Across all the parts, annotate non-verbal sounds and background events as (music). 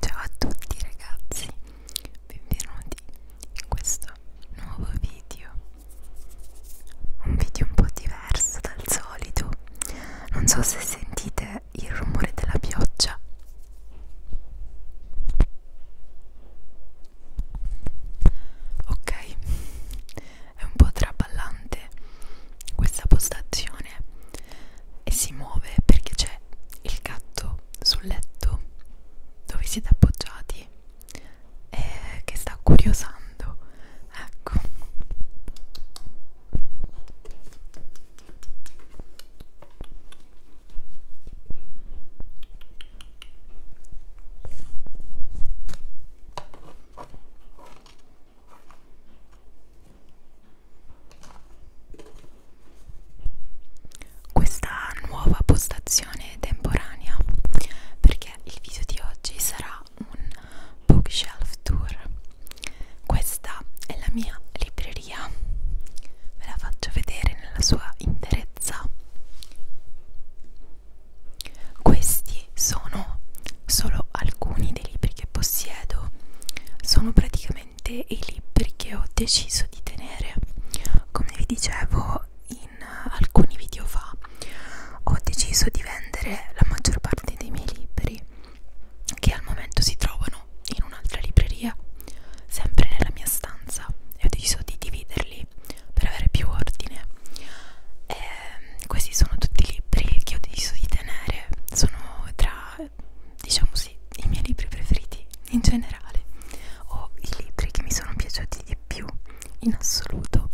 Ciao a tutti ragazzi, benvenuti in questo nuovo video. Un video un po' diverso dal solito. Non so se sentite il rumore della pioggia. Ok, è un po' traballante questa postazione posizione e si muove perché c'è il gatto sul letto dove siete appoggiati e che sta curiosando ecco questa nuova postazione temporanea perché il video di oggi sarà un bookshelf tour questa è la mia libreria ve la faccio vedere nella sua interezza questi sono solo alcuni dei libri che possiedo sono praticamente ovviamente i libri che ho deciso di tenere come vi dicevo in eh, alcuni video fa ho deciso di vendere la maggior parte dei miei libri che al momento si trovano in un'altra libreria sempre nella mia stanza e ho deciso di dividerli per avere più ordine e ehm, questi sono tutti i libri che ho deciso di tenere sono tra eh, diciamo sì, i miei libri preferiti in generale o i libri che mi sono piaciuti di più in assoluto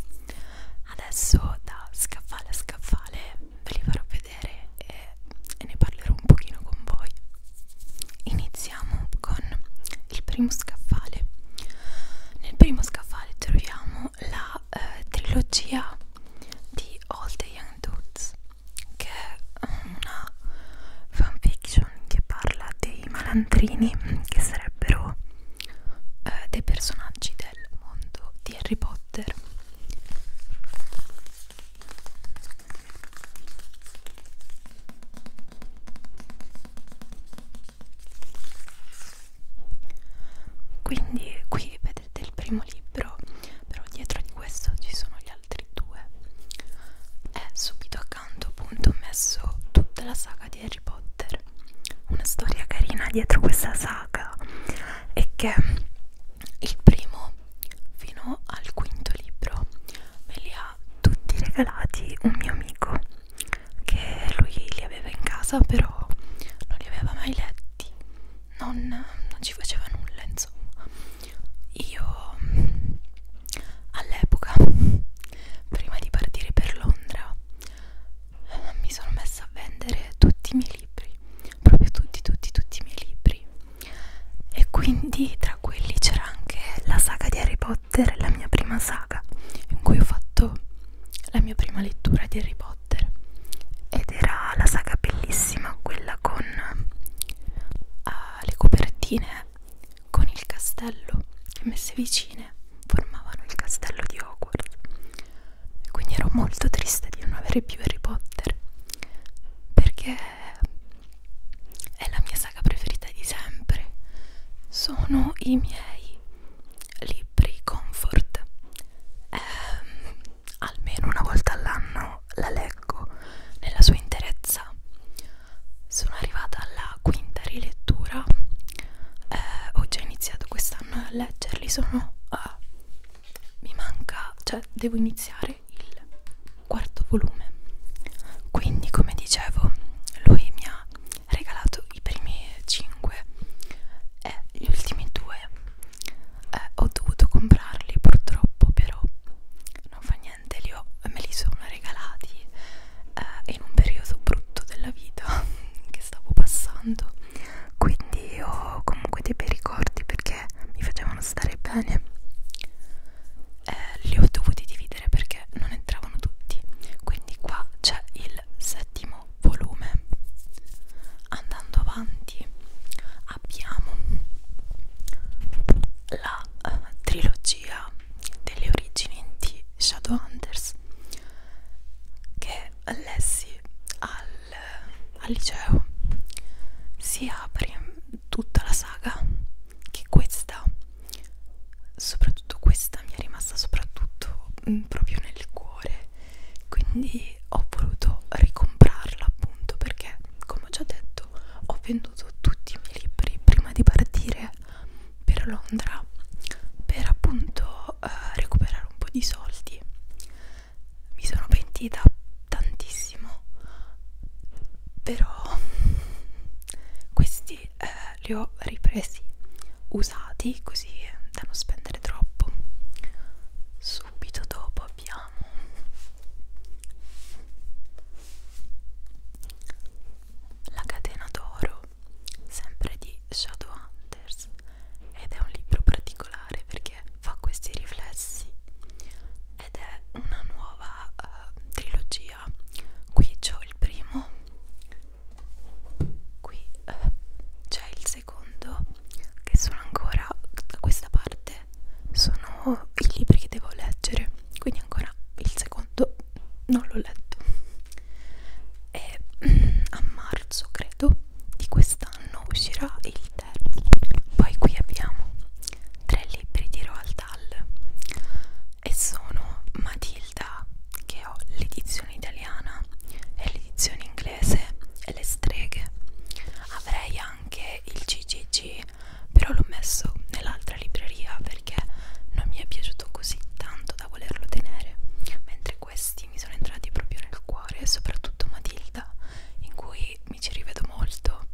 adesso da scaffale a scaffale ve li farò vedere e, e ne parlerò un pochino con voi iniziamo con il primo scaffale nel primo scaffale troviamo la eh, trilogia di All the Young Dudes che è una fanfiction che parla dei malandrini che sarebbero eh, dei personaggi del mondo di Harry Potter quindi qui vedete il primo libro però dietro di questo ci sono gli altri due è subito accanto appunto ho messo tutta la saga di Harry Potter una storia carina dietro questa saga è che il primo fino al quinto libro me li ha tutti regalati un mio amico che lui li aveva in casa però non li aveva mai letti non, non ci faceva nulla insomma io all'epoca prima di partire per Londra mi sono messa a vendere tutti i miei libri proprio tutti tutti tutti i miei libri e quindi tra quelli c'era anche la saga di Harry Potter la mia prima saga in cui ho fatto la mia prima lettura di Harry Potter Potter ed era la saga bellissima quella con uh, le copertine con il castello che messe vicine formavano il castello di Hogwarts quindi ero molto triste di non avere più Harry Potter perché è la mia saga preferita di sempre sono i miei libri comfort eh, almeno una volta all'anno la leggo nella sua interezza. Sono arrivata alla quinta rilettura, eh, ho già iniziato quest'anno a leggerli, sono... Uh, mi manca, cioè devo iniziare il quarto volume. Quindi come dicevo, lui mi ha regalato i primi 5 e gli ultimi due eh, ho dovuto comprarli purtroppo però non fa niente li ho, me li sono regalati eh, in un periodo brutto della vita (laughs) che stavo passando quindi ho comunque dei bei ricordi perché mi facevano stare bene eh, li ho dovuti dividere perché non entravano tutti quindi qua c'è il settimo volume andando avanti abbiamo la uh, trilogia delle origini di Shadowhunters che lessi al, al liceo si apre tutta la saga che questa soprattutto questa mi è rimasta soprattutto mh, mm, proprio nel cuore quindi ho voluto ricomprarla appunto perché come ho già detto ho venduto tutti i miei libri prima di partire per Londra per appunto eh, recuperare un po' di soldi mi sono pentita tantissimo però questi eh, li ho ripresi usati così da non spendere troppo subito dopo lo abbiamo La catena d'oro sempre di Shadowhunters ed è un libro particolare perché fa questi riflessi ed è una nuova uh, trilogia qui c'ho il primo qui uh, c'è il secondo che sono ancora da questa parte sono i libri che devo leggere quindi ancora il secondo non l'ho letto e mm, a marzo credo di quest'anno uscirà il terzo poi qui abbiamo tre libri di Roald Dahl e sono Matilda che ho l'edizione italiana e l'edizione inglese inglese le streghe avrei anche il ggg però l'ho messo nell'altra libreria perché non mi è piaciuto così tanto da volerlo tenere mentre questi mi sono entrati proprio nel cuore soprattutto Matilda in cui mi ci rivedo molto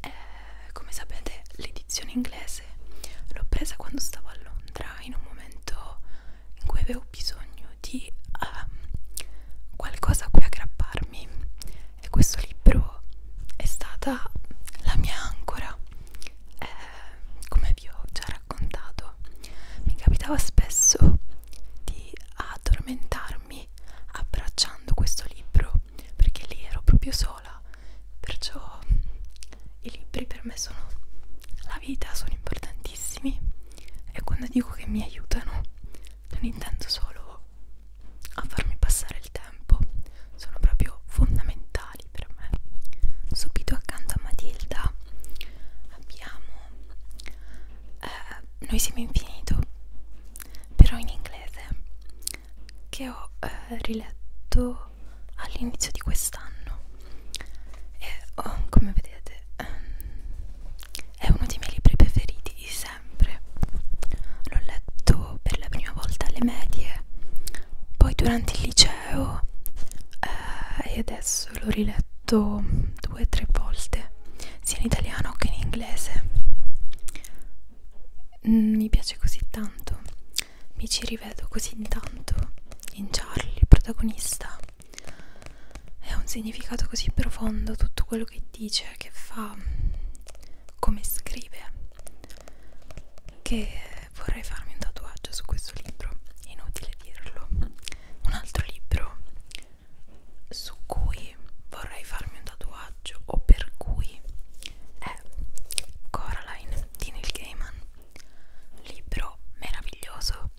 eh, come sapete l'edizione inglese l'ho presa quando stavo a Londra in un momento in cui avevo bisogno di uh, qualcosa a cui aggrapparmi e questo libro è stata la mia ancora eh, come vi ho già raccontato mi capitava spesso di addormentarmi abbracciando questo libro perché lì ero proprio sola perciò i libri per me sono la vita sono importantissimi e quando dico che mi aiutano cioè, non intendo solo a farmi passare il tempo sono proprio fondamentali per me subito accanto a Matilda abbiamo eh, Noi siamo infinito però in inglese che ho eh, riletto all'inizio di quest'anno e oh, come vedete ehm, è uno dei miei libri preferiti di sempre. L'ho letto per la prima volta alle medie, poi durante il liceo eh, e adesso l'ho riletto due o tre volte, sia in italiano che in inglese. Mm, mi piace così tanto, mi ci rivedo così tanto in Charlie, il protagonista è un significato così profondo tutto quello che dice, che fa, come scrive, che vorrei farmi un tatuaggio su questo libro, inutile dirlo. Un altro libro su cui vorrei farmi un tatuaggio o per cui è Coraline di Neil Gaiman, libro meraviglioso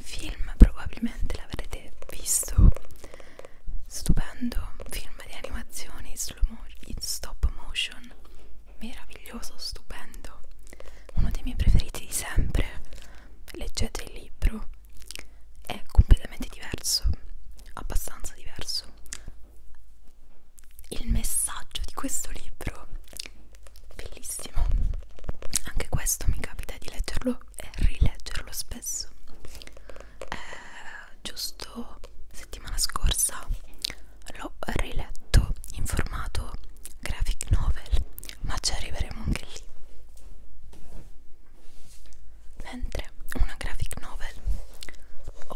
film probabilmente l'avrete visto stupendo film di animazioni in stop motion meraviglioso stupendo uno dei miei preferiti di sempre leggete il libro è completamente diverso abbastanza diverso il messaggio di questo libro bellissimo anche questo mi capita di leggerlo rileggerlo e rileggerlo spesso eh, giusto settimana scorsa l'ho riletto in formato graphic novel ma ci arriveremo anche lì mentre una graphic novel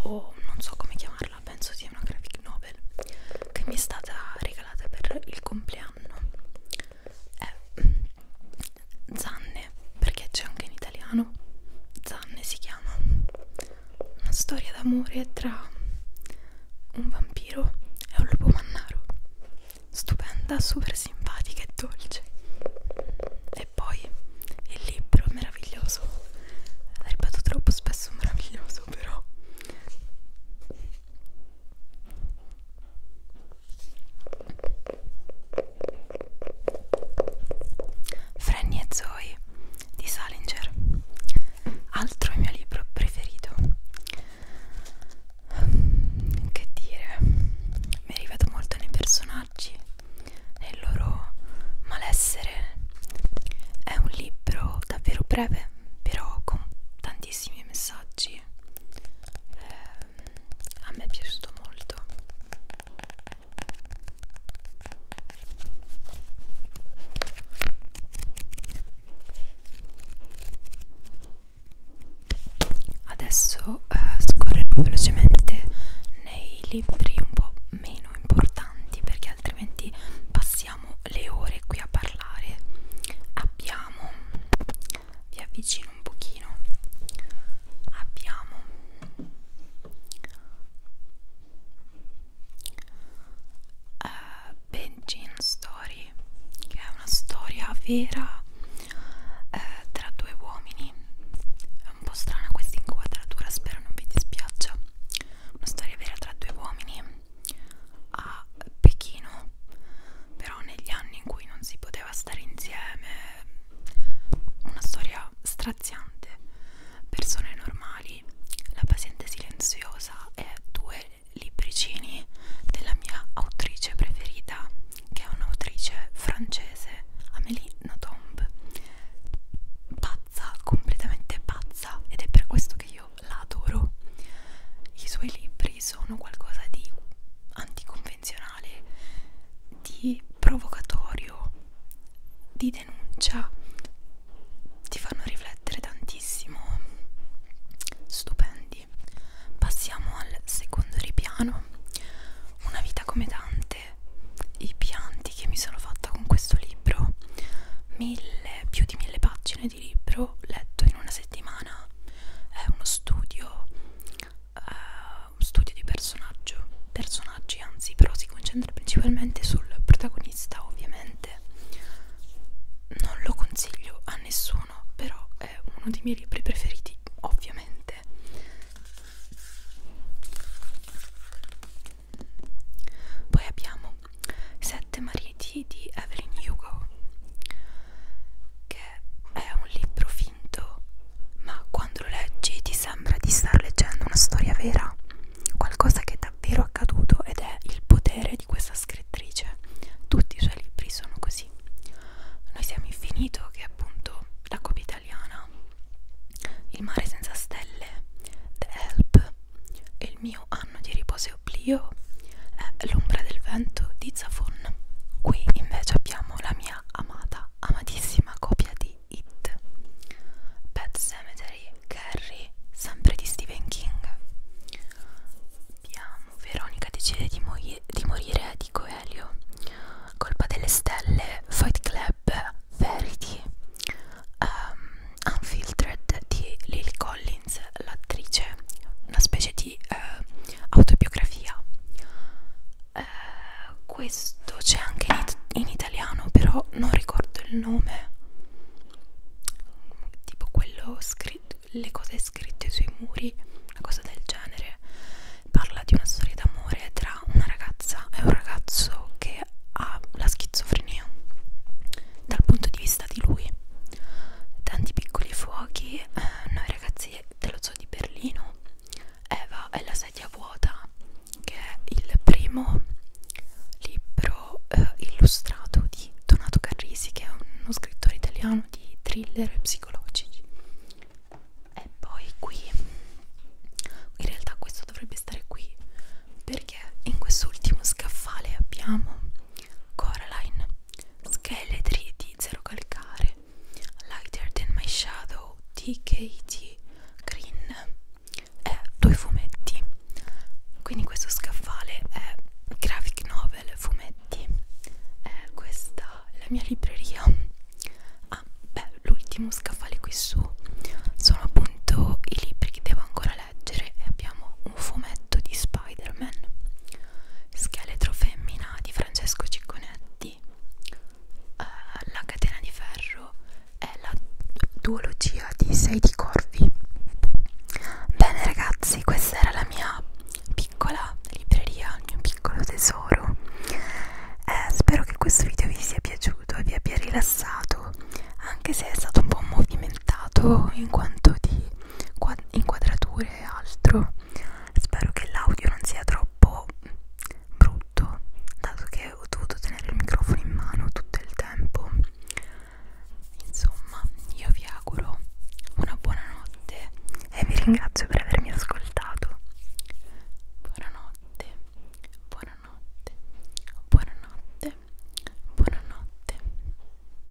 o non so come chiamarla penso sia una graphic novel che mi è stata regalata per il compleanno è eh, Zanne, perché c'è anche in italiano. Zanne si chiama Una storia d'amore tra un vampiro e un lupo mannaro. Stupenda, super simpatica e dolce. E poi il libro meraviglioso. Ripeto troppo spesso meraviglioso, però Franny e Zoe di Salinger altro mio libro preferito ehm, che dire mi rivedo molto nei personaggi nel loro malessere è un libro davvero breve però con tantissimi messaggi eh, a me è piaciuto molto adesso eh, scorrerò velocemente nei libri un po' meno importanti perché altrimenti passiamo le ore qui a parlare abbiamo vi avvicino un pochino abbiamo uh, Benjin Story che è una storia vera uh, tra due uomini è un po' strana questa inquadratura spero non vi dispiaccia una storia vera tra due uomini a Pechino però negli anni in cui non si poteva stare insieme una storia straziante persone normali la paziente silenziosa e due libricini della mia autrice preferita che è un'autrice francese Amélie Nothomb pazza, completamente pazza ed è per questo che io la adoro i suoi libri magari sono qualcosa di anticonvenzionale, di provocatorio, di denuncia, ti fanno riflettere tantissimo, stupendi. Passiamo al secondo ripiano, una vita come tante, i pianti che mi sono fatta con questo libro, mille, più di mille pagine di libro letto in una settimana è uno studio uh, un studio di personaggio personaggi anzi però si concentra principalmente sul protagonista ovviamente non lo consiglio a nessuno però è uno dei miei libri preferiti ovviamente poi abbiamo Sette Maria Infinity di Evelyn Hugo che è un libro finto ma quando lo leggi ti sembra di star leggendo una storia vera qualcosa che è davvero accaduto ed è il potere di questa scrittrice tutti i suoi libri sono così noi siamo infinito che è appunto la copia italiana il mare senza stelle The Help e il mio anno anno di riposo e oblio è eh, L'ombra del vento di Zafon. Qui invece abbiamo la mia amata, amatissima copia di It. Pet Cemetery, Carrie, sempre di Stephen King. Abbiamo Veronica decide di, di morire di Coelho. Colpa delle stelle, Fight Club, Verity, um, Unfiltered di Lily Collins Collins, l'attrice, una specie di eh, autobiografia. Eh, questo c'è anche in, it in italiano, però non ricordo il nome. Tipo quello scritto, le cose scritte sui muri, una cosa del genere. Parla di una storia d'amore tra una ragazza e un ragazzo che ha la schizofrenia dal punto di vista di lui tanti piccoli fuochi eh, noi ragazzi dello zoo di Berlino Eva è la sedia vuota che è il primo libro eh, illustrato di Donato Carrisi che è uno scrittore italiano di thriller psicologici e poi qui in realtà questo dovrebbe stare qui perché in quest'ultimo scaffale abbiamo Coraline Scheletri di Zero Calcare, Lighter Than My Shadow di Katie Green è due fumetti, quindi questo scaffale è graphic novel fumetti, è questa è la mia libreria. Ah, beh, l'ultimo scaffale qui su sono appunto i libri che devo ancora leggere e abbiamo un fumetto di Spider-Man Scheletro femmina di Francesco Cicconetti uh, La catena di ferro è la duologia di Sei di Corvi Bene ragazzi, questa era la mia piccola libreria, il mio piccolo tesoro eh, Spero che questo video vi sia piaciuto e vi abbia rilassato Anche se è stato un po' movimentato in quanto di inquadrature e altro spero che l'audio non sia troppo brutto dato che ho dovuto tenere il microfono in mano tutto il tempo insomma io vi auguro una buona notte e vi ringrazio per avermi ascoltato buonanotte buonanotte buonanotte buonanotte